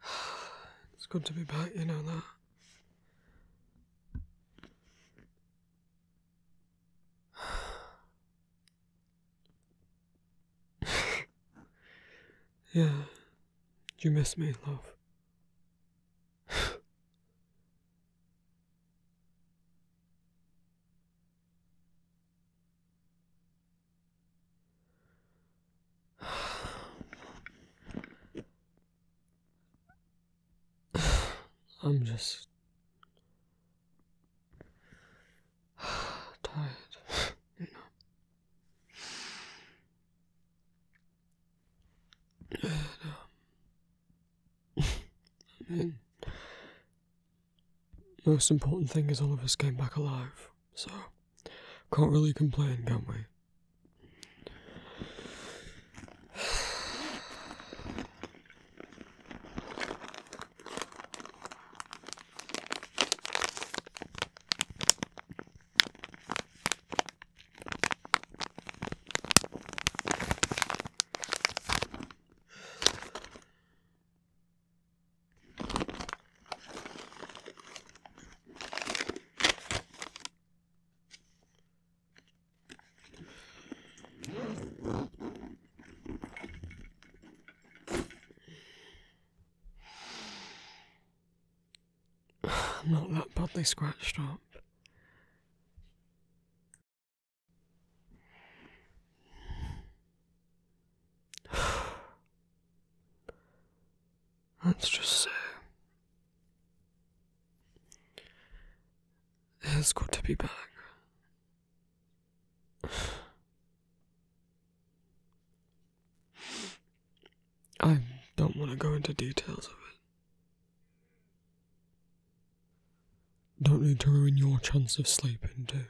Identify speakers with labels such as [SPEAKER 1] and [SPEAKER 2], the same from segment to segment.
[SPEAKER 1] It's good to be back, you know that. Yeah. You miss me, love. I'm just tired, you know. I mean, most important thing is all of us came back alive so can't really complain, can we? I'm not that badly scratched up. Let's just say it's good to be back. I don't want to go into details of it. Don't need to ruin your chance of sleeping, too.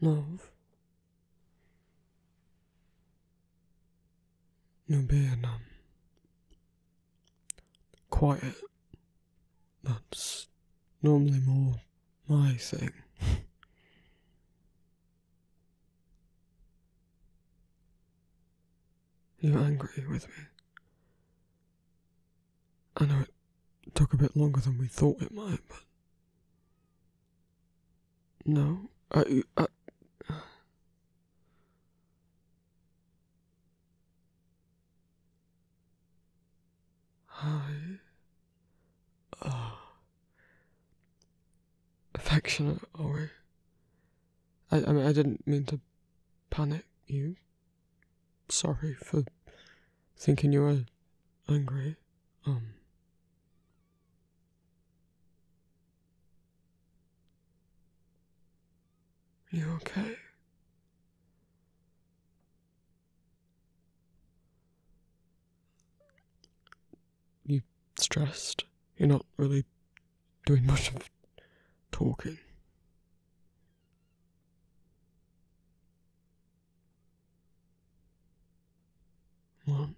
[SPEAKER 1] Love. You're being um, quiet. That's normally more my thing. You're angry with me. I know it took a bit longer than we thought it might, but. No, I. I I uh, affectionate, are we? I, I mean, I didn't mean to panic you, sorry for thinking you were angry. Um. You okay? You stressed? You're not really doing much of talking. Mom.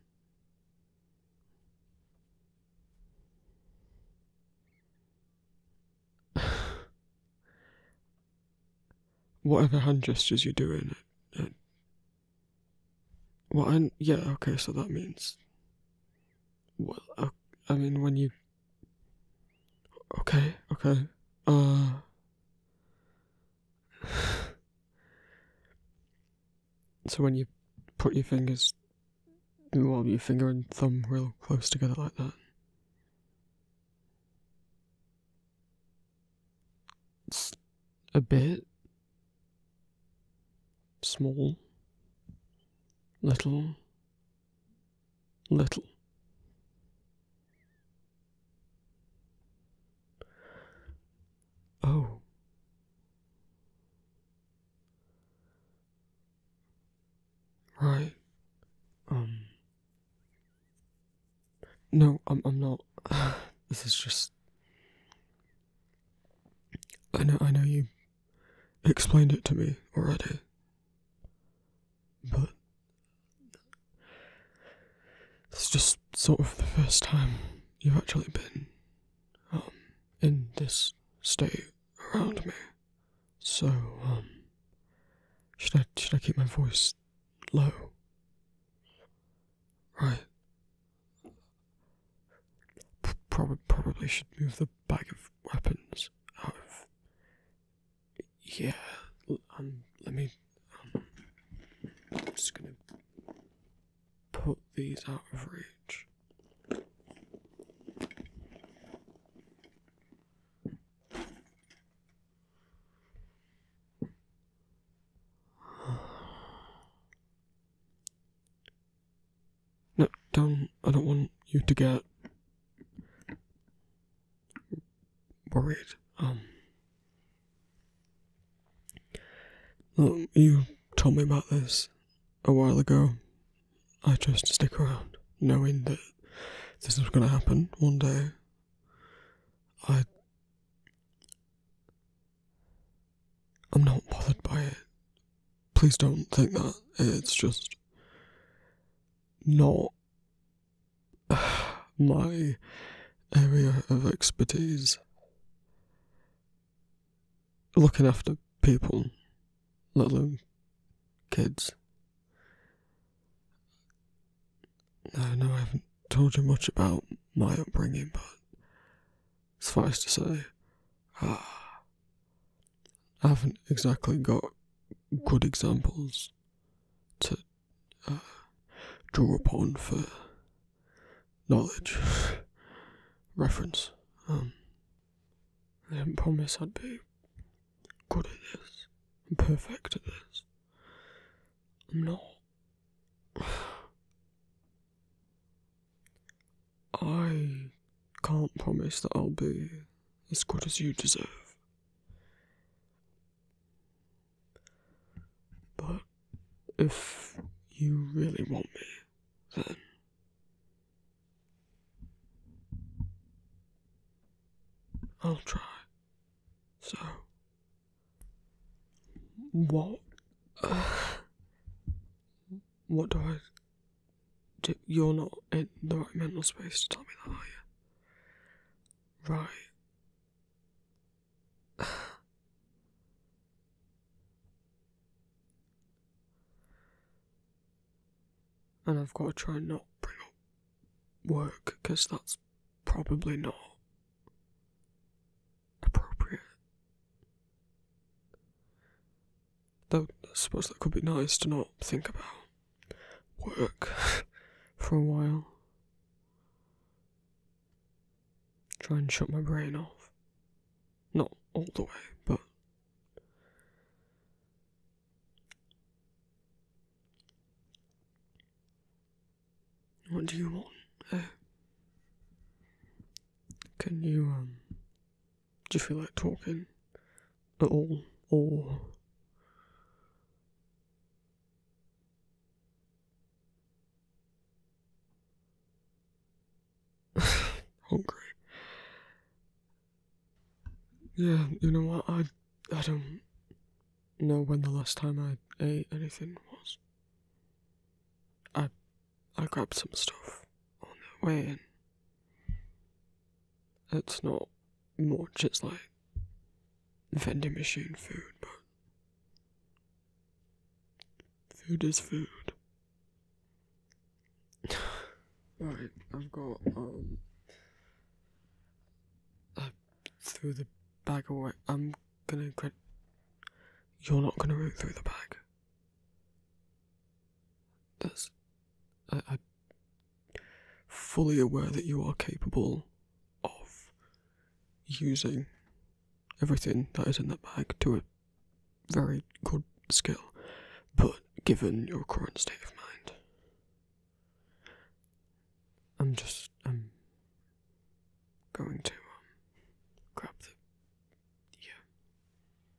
[SPEAKER 1] what other hand gestures you're doing? what? yeah, okay, so that means. Well, uh, I mean, when you Okay, okay. Uh. so when you put your fingers, well, your finger and thumb real close together like that. a bit small, little, little. Oh. Right. Um. No, I'm. I'm not. this is just. I know. I know you explained it to me already. But it's just sort of the first time you've actually been um, in this state around me. So, um, should I, should I keep my voice low? Right. probably should move the bag of weapons out of yeah, um, let me. Um, I'm just gonna put these out of reach. No, don't. I don't want you to get worried. Um, you told me about this a while ago. I chose to stick around, knowing that this was going to happen one day. I'm not bothered by it. Please don't think that. It's just not my area of expertise. Looking after people, little kids. I know I haven't told you much about my upbringing, but suffice to say, ah, I haven't exactly got good examples to uh, draw upon for knowledge reference. Um, I didn't promise I'd be good at this perfect at this. I'm not. I can't promise that I'll be as good as you deserve. But if you really want me, then. I'll try. So. What? what do I you're not in the right mental space to tell me that, are you? Right. and I've got to try and not bring up work because that's probably not appropriate. I suppose that could be nice to not think about work for a while. Try and shut my brain off. Not all the way, but. What do you want? Eh? Can you, um. Do you feel like talking at all? Or hungry. Yeah, you know what? I I don't know when the last time I ate anything was. I I grabbed some stuff on the way in. It's not much, it's like vending machine food, but food is food. Alright, I've got, um, I threw the bag away. I'm gonna, you're not gonna root through the bag. As I, am fully aware that you are capable of using everything that is in that bag to a very good skill, but given your current state of mind, I'm just I'm going to um, grab the yeah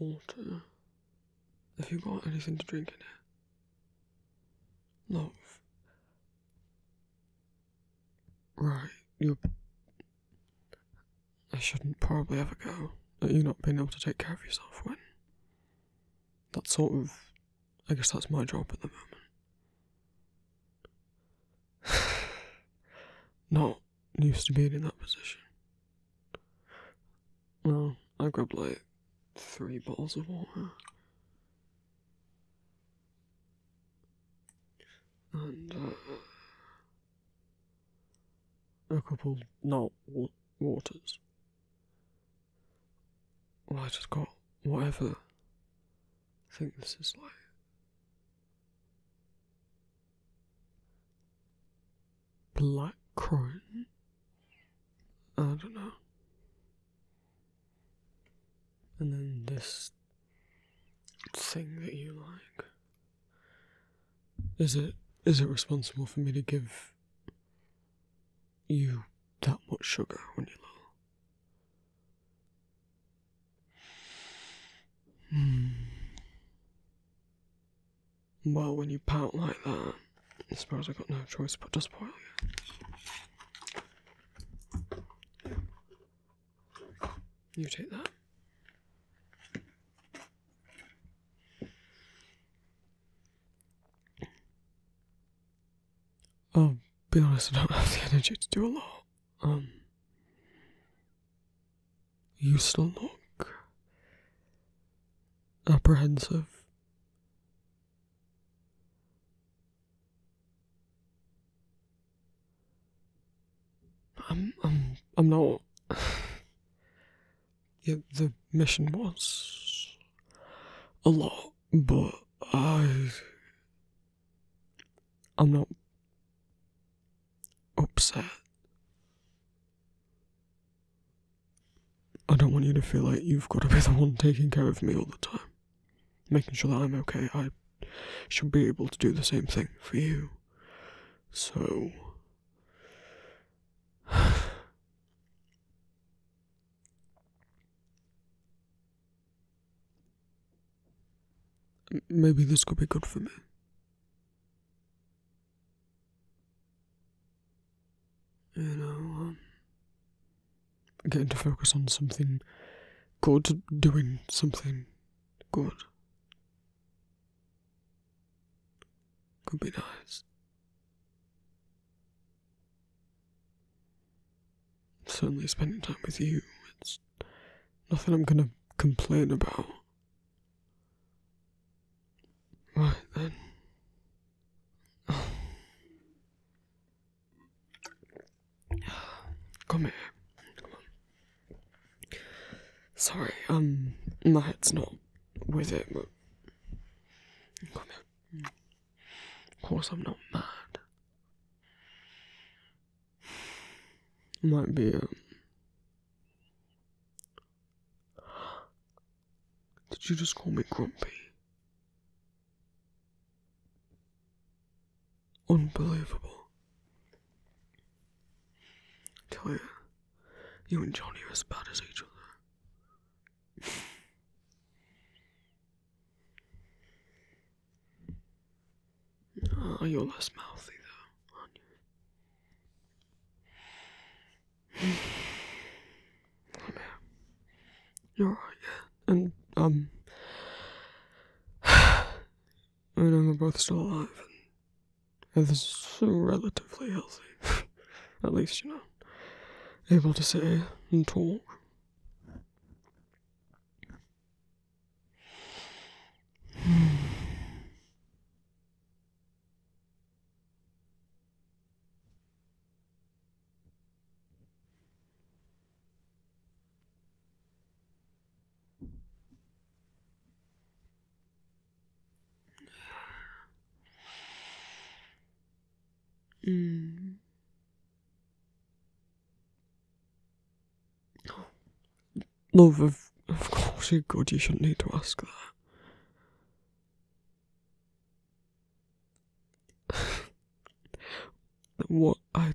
[SPEAKER 1] Water. Have you got anything to drink in here? Love. Right, you're I shouldn't probably ever go at you not being able to take care of yourself when. that sort of. I guess that's my job at the moment. not used to being in that position. Well, I grabbed like three bottles of water. And, uh, Equable not wa waters. Well, I just got whatever. I think this is like. Black Crone? I don't know. And then this thing that you like. Is it is it responsible for me to give you that much sugar when you're little? Hmm. Well, when you pout like that, I suppose I have got no choice but to spoil you. You take that. I'll um, be honest, I don't have the energy to do a lot. Um, you still look apprehensive. I'm I'm I'm not the mission was a lot, but I I'm not upset. I don't want you to feel like you've got to be the one taking care of me all the time. Making sure that I'm okay, I should be able to do the same thing for you. So. Maybe this could be good for me. You know, um, getting to focus on something good, doing something Good. Could be nice. Certainly spending time with you, it's nothing I'm gonna complain about. Right then. Come here. Sorry, um, my head's not with it, Come here. Of course, I'm not mad. Might be, um. Did you just call me grumpy? Unbelievable. I tell you, you and Johnny are as bad as each other. Oh, you're less mouthy though, aren't you? You're alright, yeah. And um I know we're both still alive, and is relatively healthy. At least, you are not able to say and talk.
[SPEAKER 2] Mm.
[SPEAKER 1] love, of, of course you're good, you shouldn't need to ask that. what I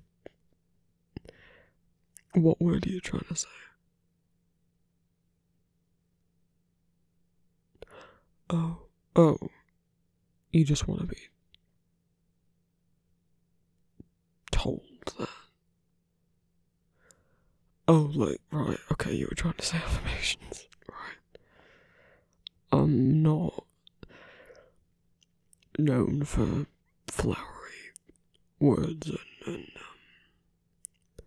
[SPEAKER 1] what word are you trying to say? Oh, oh, you just want to be told that. Oh, like, right, okay, you were trying to say affirmations, right? I'm not known for flowery words and, um,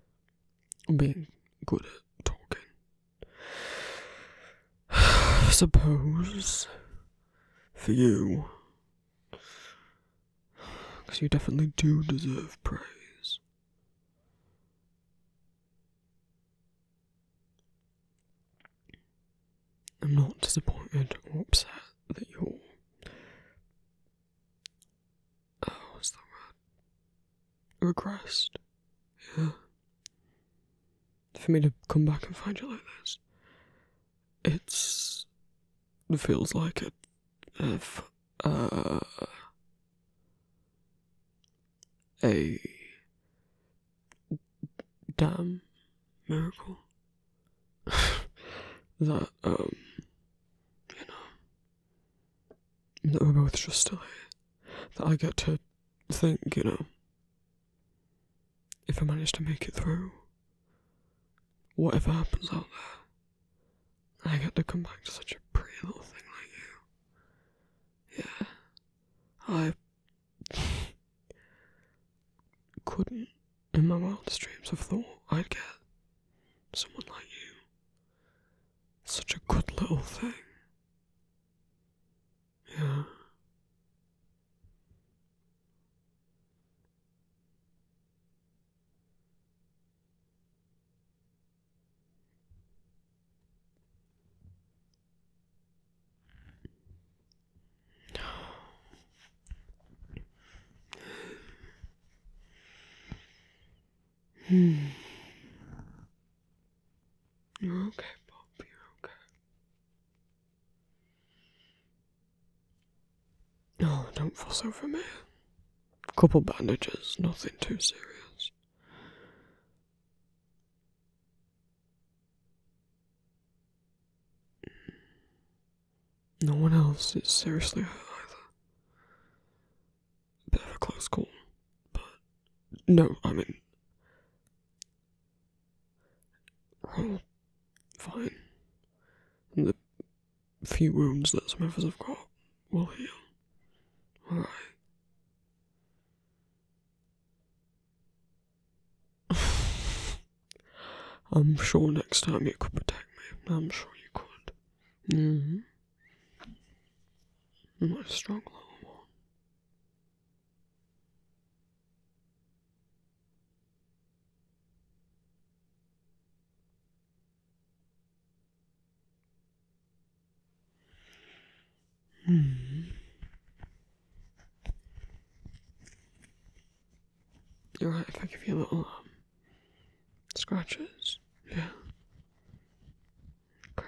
[SPEAKER 1] being good at talking. suppose for you, because you definitely do deserve praise. I'm not disappointed or upset that you're. Oh, what's that word? Regressed. Yeah. For me to come back and find you like this, it's. It feels like it. If. Uh. A. Damn miracle that, um, you know, that we're both just dying. That I get to think, you know, if I manage to make it through, whatever happens out there, I get to come back to such a pretty little thing like you. Yeah. I. Couldn't, in my wildest dreams, have thought I'd get someone like you. Such a good little thing. Yeah. Hmm. You're okay, Bob. You're okay. Oh, don't fuss over me. Couple bandages, nothing too serious. No one else is seriously hurt either. Bit of a close call, but no, I mean, well, fine. the few wounds that some of us have got will heal. Alright. I'm sure next time you could protect me. I'm sure you could. Mm hmm. My strong little hmm. You're right, if I give you a little um, scratches, yeah. Okay.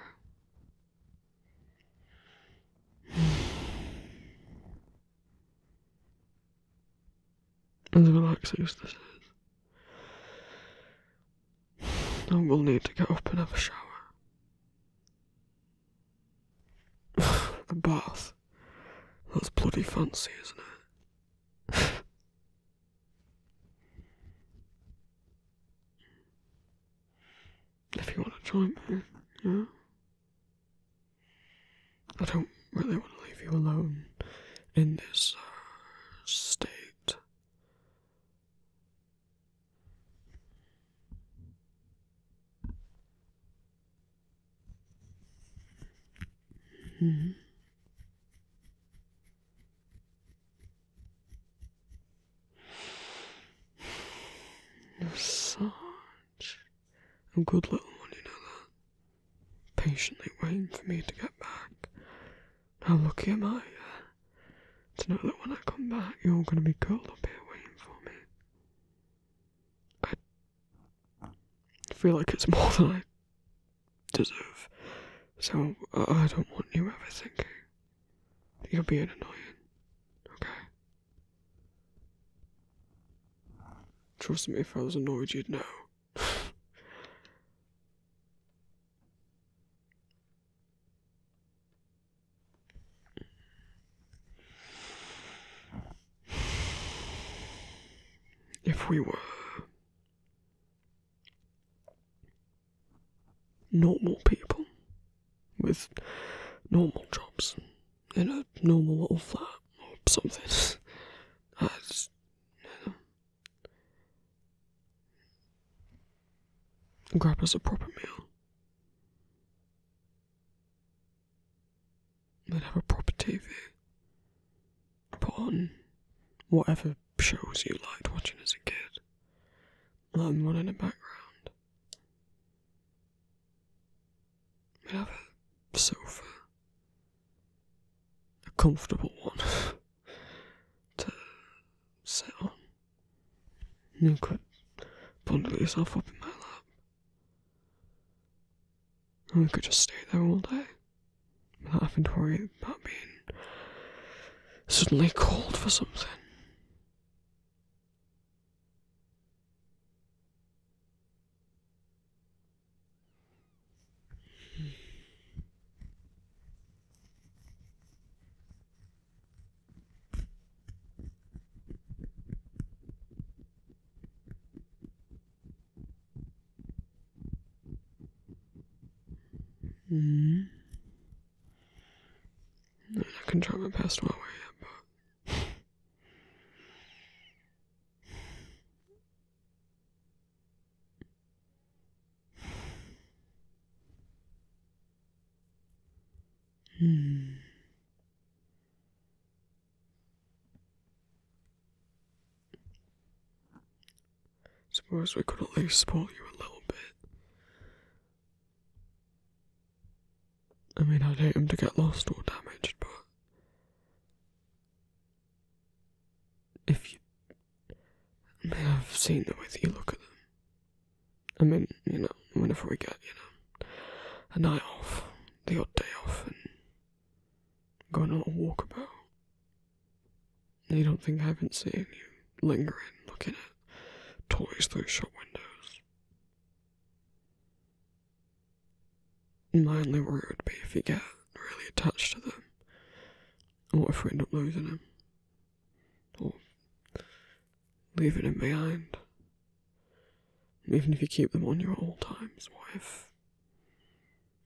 [SPEAKER 1] As relaxing as this is, I will need to get up and have a shower the bath. That's bloody fancy, isn't it? if you want to join me, yeah? I don't really want to leave you alone in this uh, state. You're such a good little one, you know that. Patiently waiting for me to get back. How lucky am I to know that when I come back, you're going to be curled up here waiting for me. I feel like it's more than I deserve. So I don't want you ever thinking you're being annoying. Okay. Trust me, if I was annoyed, you'd know if we were normal people with normal jobs in a normal little flat or something. I would grab us a proper meal. They'd have a proper TV. Put on whatever shows you liked watching as a kid. Let them run in the background. They'd have a sofa. A comfortable one to sit on. You could bundle yourself up in my lap. We could just stay there all day without having to worry about being suddenly called for something. Mm. i can not try my best while we but. Hmm. Suppose we could at least support you a little bit. I mean, I'd hate him to get lost or damaged, but if you, I mean, I've seen the way that you look at them. I mean, you know, whenever we get, you know, a night off, the odd day off and going on a little walkabout. You don't think I haven't seen you lingering looking at toys through shop windows? My only worry would be if you get really attached to them. What if we end up losing them Or leaving them behind? Even if you keep them on your old times, wife.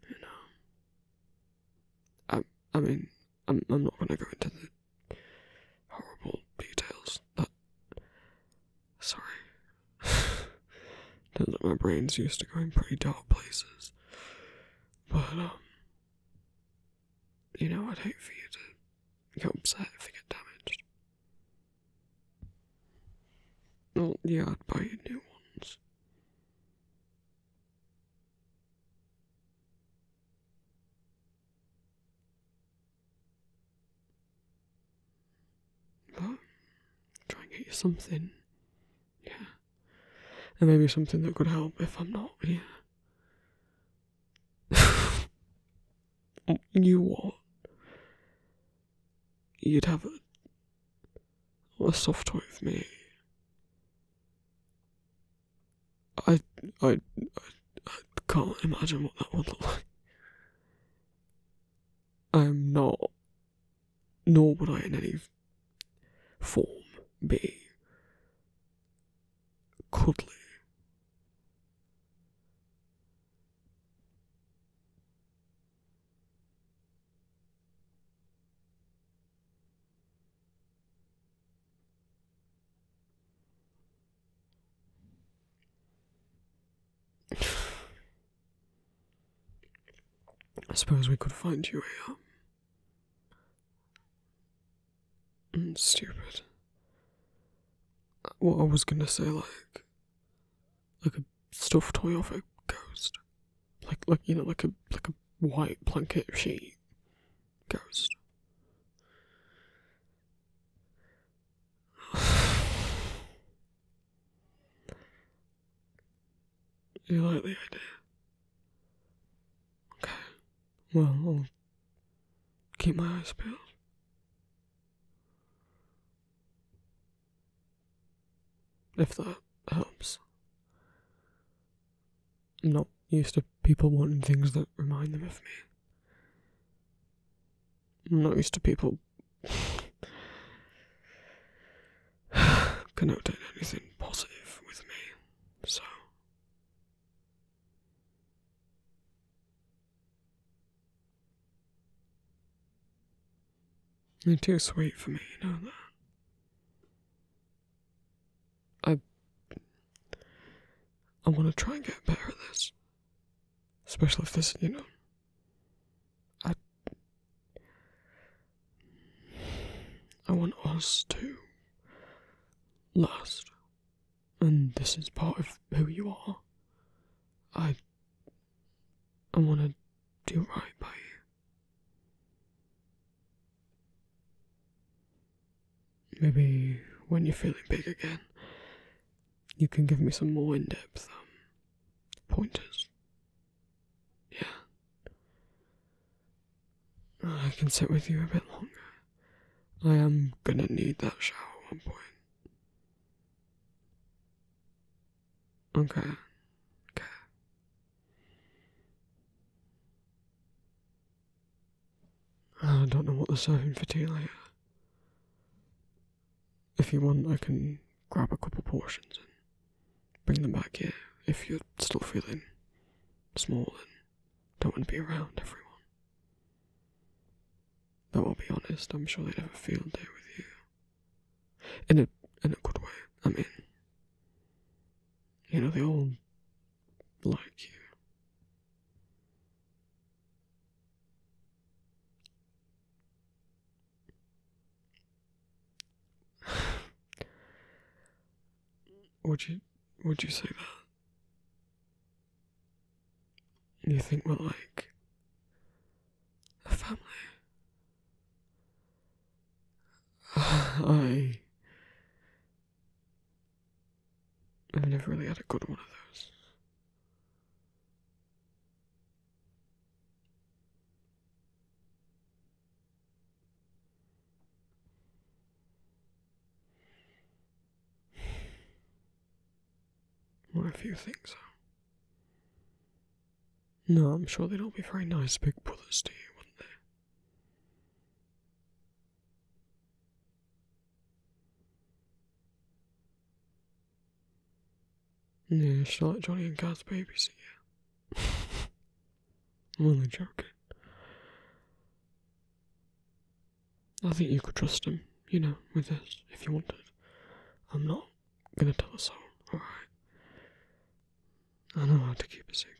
[SPEAKER 1] You know. I, I mean, I'm, I'm not going to go into the horrible details, but. Sorry. Turns out my brain's used to going pretty dark places. But, um. You know, I'd hate for you to get upset if you get damaged. Oh yeah, I'd buy you new ones. try and get you something. Yeah. And maybe something that could help if I'm not here. you what? you'd have a, soft toy with me. I, I, I, can't imagine what that would look like. I'm not, nor would I in any form be cuddly. I suppose we could find you here. Mm, stupid. What I was gonna say, like, like a stuffed Toyofo ghost. Like like you know, like a like a white blanket sheet ghost.
[SPEAKER 2] you like the idea? Okay. Well, I'll keep my eyes peeled.
[SPEAKER 1] If that helps. I'm not used to people wanting things that remind them of me. I'm not used to people connecting anything positive with me, so. You're too sweet for me, you know that. I I wanna try and get better at this. Especially if this you know. I I want us to last and this is part of who you are. I I want to do right by you. Maybe when you're feeling big again, you can give me some more in depth um, pointers. Yeah. I can sit with you a bit longer. I am gonna need that shower at one point. Okay. Okay. I don't know what the serving for tea later. If you want, I can grab a couple portions and bring them back here if you're still feeling small and don't want to be around everyone. But I'll be honest, I'm sure they'd have a field day with you. In a in a good way, I mean. You know, they all like you. would you would you say that? You think we're like a family? I've never really had a good one of those. Well, if you think so. No, I'm sure they'd all be very nice big brothers to you, wouldn't they? Yeah, she's like Johnny and Kat's babysit you. I'm only joking. I think you could trust him, you know, with this if you wanted. I'm not gonna tell a soul, alright? I know how to keep a secret.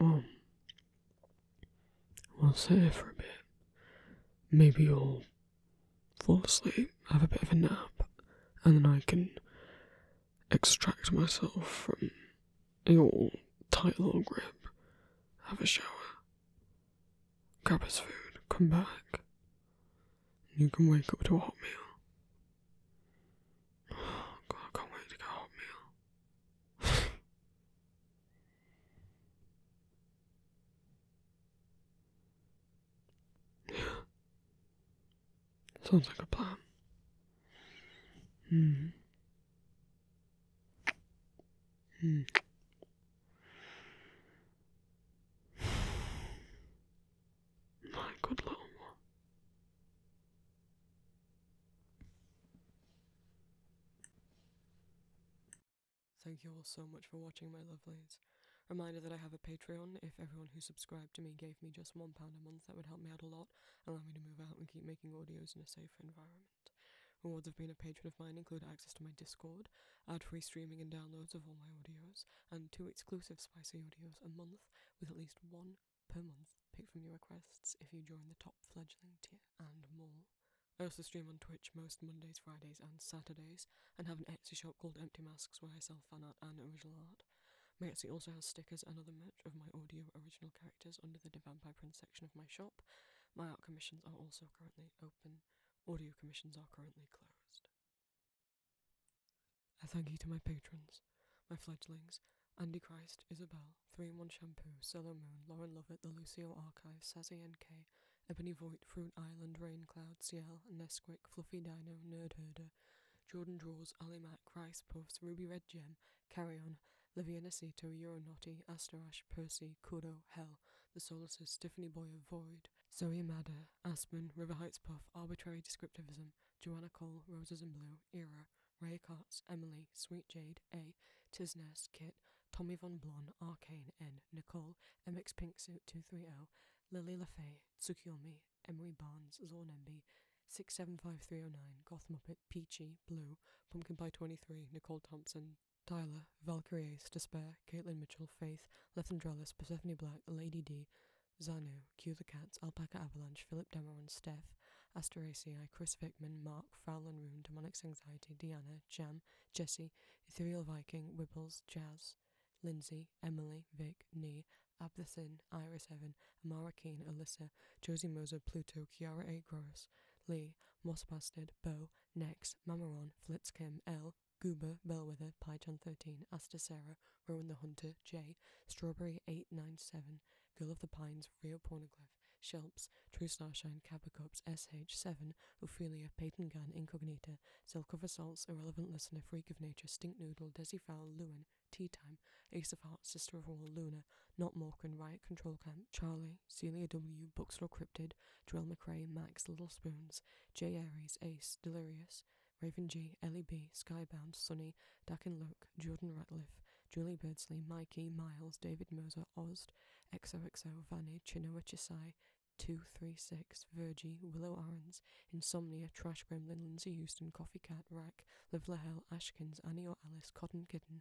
[SPEAKER 1] Alright, well, we'll sit here for a bit. Maybe you'll fall asleep, have a bit of a nap, and then I can extract myself from your tight little grip, have a shower, grab us food, come back, and you can wake up to a hot meal. God, I can't wait to get a hot
[SPEAKER 2] meal. yeah. Sounds like a plan. Mm. Mm. My good little one.
[SPEAKER 3] Thank you all so much for watching, my lovelies. Reminder that I have a Patreon. If everyone who subscribed to me gave me just one pound a month, that would help me out a lot, allow me to move out and keep making audios in a safer environment. Rewards of being a patron of mine include access to my Discord, ad-free streaming and downloads of all my audios, and two exclusive spicy audios a month, with at least one per month picked from your requests if you join the top fledgling tier, and more. I also stream on Twitch most Mondays, Fridays, and Saturdays, and have an Etsy shop called Empty Masks where I sell fan art and original art. My Etsy also has stickers and other merch of my audio original characters under the Vampire Prince section of my shop. My art commissions are also currently open. Audio commissions are currently closed. I thank you to my patrons, my fledglings, Andy Christ, Isabel, 3 in 1 Shampoo, Cello Moon, Lauren Lovett, The Lucio Archive, Sassy NK, Ebony Void, Fruit Island, Rain Cloud, Ciel, Nesquik, Fluffy Dino, Nerd Herder, Jordan Draws, Ali Mac, Rice Puffs, Ruby Red Gem, Carry On, Livia Nasito, Euronaughty, Asterash, Percy, Kudo, Hell, The Solaces, Tiffany Boyer, Void, Zoya Madder Aspen, River Heights Puff, Arbitrary Descriptivism, Joanna Cole, Roses in Blue, Era, Ray Cots, Emily, Sweet Jade, A, Tisness, Kit, Tommy Von Blon, Arcane, N, Nicole, MX Pink Suit 230, Lily LaFay, Tsukiyomi, Lee, Emery Barnes, Zornembi, 675309, Gothmuppet, Peachy, Blue, Pumpkin Pie 23, Nicole Thompson, Tyler, Valkyries Despair, Caitlin Mitchell, Faith, Lethandrellis, Persephone Black, Lady D, Zano Q the Cats, Alpaca Avalanche, Philip Demeran Steph, Asteraceae, Chris Vickman, Mark, Foul and Rune, Anxiety, Diana Jam, Jesse, Ethereal Viking, Wibbles, Jazz, Lindsay, Emily, Vic, Nee, Abdessin, Iris Evan, Amara Keane, Alyssa, Josie Moser, Pluto, Kiara A. Gross, Lee, Moss Bo, Nex, Mamaron, Flitzkim, L, Goober, Bellwether, PyChan13, Asta Sarah, Rowan the Hunter, J, Strawberry897, Girl of the Pines, Rio Pornoglyph, Shelps, True Starshine, Kappa SH7, Ophelia, Peyton Gunn, Incognita, Silk of Assaults, Irrelevant Listener, Freak of Nature, Stink Noodle, Desi Fowl, Lewin, Tea Time, Ace of Hearts, Sister of All, Luna, Not Morgan, Riot Control Camp, Charlie, Celia W, Bookstore Cryptid, Joel McRae, Max, Little Spoons, J. Aries, Ace, Delirious, Raven G, Ellie B, Skybound, Sunny, Dakin and Luke, Jordan Ratliff, Julie Birdsley, Mikey, Miles, David Moser, Ozd, XOXO, Vanny, Chinoa Chisai, 236, Virgie, Willow Arons, Insomnia, Trash Gremlin, Lindsay Houston, Coffee Cat, Rack, Live Hell, Ashkins, Annie or Alice, Cotton Kitten,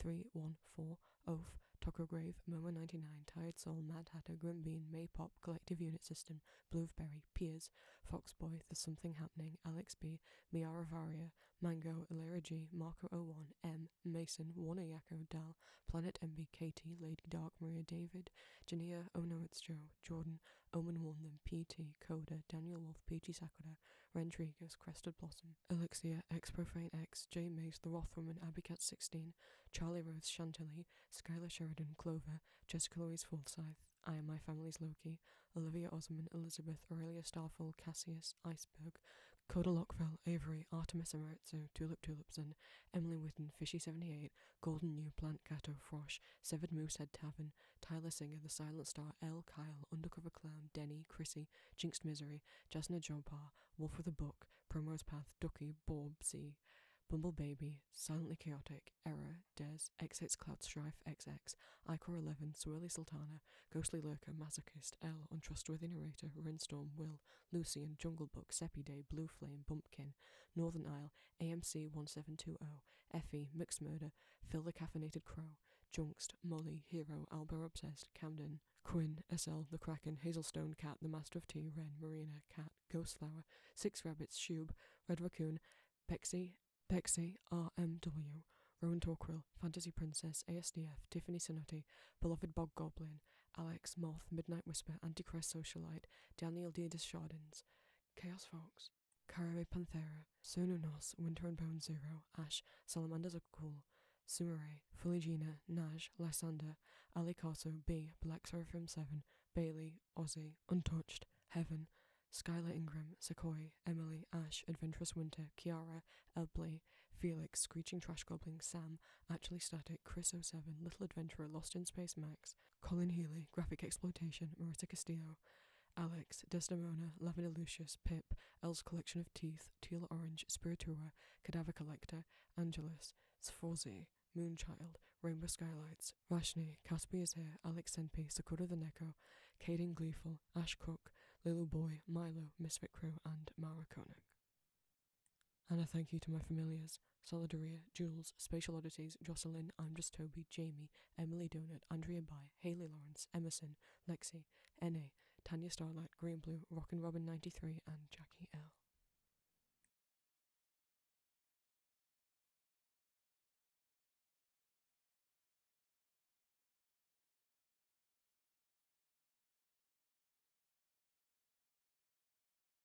[SPEAKER 3] 314, Oaf, Tucker Grave, Momo 99, Tired Soul, Mad Hatter, Grim Bean, Maypop, Collective Unit System, Blueberry, Piers, Boy There's Something Happening, Alex B, Miara Varia, Mango, Alera G, Marco 01, M, Mason, Warner Yakko, Dal, Planet MB, Katie, Lady Dark, Maria David, Jania, Oh No It's Joe, Jordan, Omen Warnham, PT, Coda, Daniel Wolf, PG Sakura, Rentrigues, Crested Blossom, Alexia X Profane X, J Mays, The Rothwoman, Abby Cat 16, Charlie Rhodes, Chantilly, Skylar Sheridan, Clover, Jessica Louise Forsyth, I Am My Family's Loki, Olivia Osman, Elizabeth, Aurelia Starfall, Cassius, Iceberg, Coda Lockfell, Avery, Artemis Emeritso, Tulip Tulips and Emily Witten, Fishy78, Golden new Plant Catter, Frosh, Severed Moosehead Tavern, Tyler Singer, The Silent Star, L. Kyle, Undercover Clown, Denny, Chrissy, Jinxed Misery, Jasna Jompar, Wolf with a Book, Primrose Path, Ducky, Borbsy, Bumble Baby, Silently Chaotic, Error, Des, Exits Cloud Strife, XX, Icor 11, Swirly Sultana, Ghostly Lurker, Masochist, L, Untrustworthy Narrator, Rainstorm, Will, Lucy and Jungle Book, Seppi Day, Blue Flame, Bumpkin, Northern Isle, AMC 1720, Effie, Mixed Murder, Phil the Caffeinated Crow, Junkst, Molly, Hero, Alba Obsessed, Camden, Quinn, SL, The Kraken, Hazelstone, Cat, The Master of Tea, Wren, Marina, Cat, Ghostflower. Six Rabbits, Shub, Red Raccoon, Bexy, Bexy, RMW, Rowan Torquil, Fantasy Princess, ASDF, Tiffany Sinotti, Beloved Bog Goblin, Alex, Moth, Midnight Whisper, Antichrist Socialite, Daniel D. Deschardins, Chaos Fox, Caribe Panthera, Sononos, Winter and Bone Zero, Ash, Salamanders are cool, Sumere, Fuligina, Naj, Lysander, Alicato, B, Black Seraphim 7, Bailey, Aussie, Untouched, Heaven, Skylar Ingram, Sequoia, Emily, Ash, Adventurous Winter, Kiara, Elbley, Felix, Screeching Trash Gobbling Sam, Actually Static, Chris07, Little Adventurer, Lost in Space, Max, Colin Healy, Graphic Exploitation, Marita Castillo, Alex, Desdemona, Lavender Lucius, Pip, Elle's Collection of Teeth, Teal Orange, Spiritua, Cadaver Collector, Angelus, Sforzi, Moonchild, Rainbow Skylights, Rashni, Caspia's Hair, Alex Senpi, Sakura the Neko, Caden Gleeful, Ash Crook, Lilo Boy, Milo, Miss Crew, and Mara Koenig. And a thank you to my familiars Solidaria, Jules, Spatial Oddities, Jocelyn, I'm Just Toby, Jamie, Emily Donut, Andrea By, Haley Lawrence, Emerson, Lexi, N.A., Tanya Starlight, Green Blue, Rock and Robin 93, and Jackie L.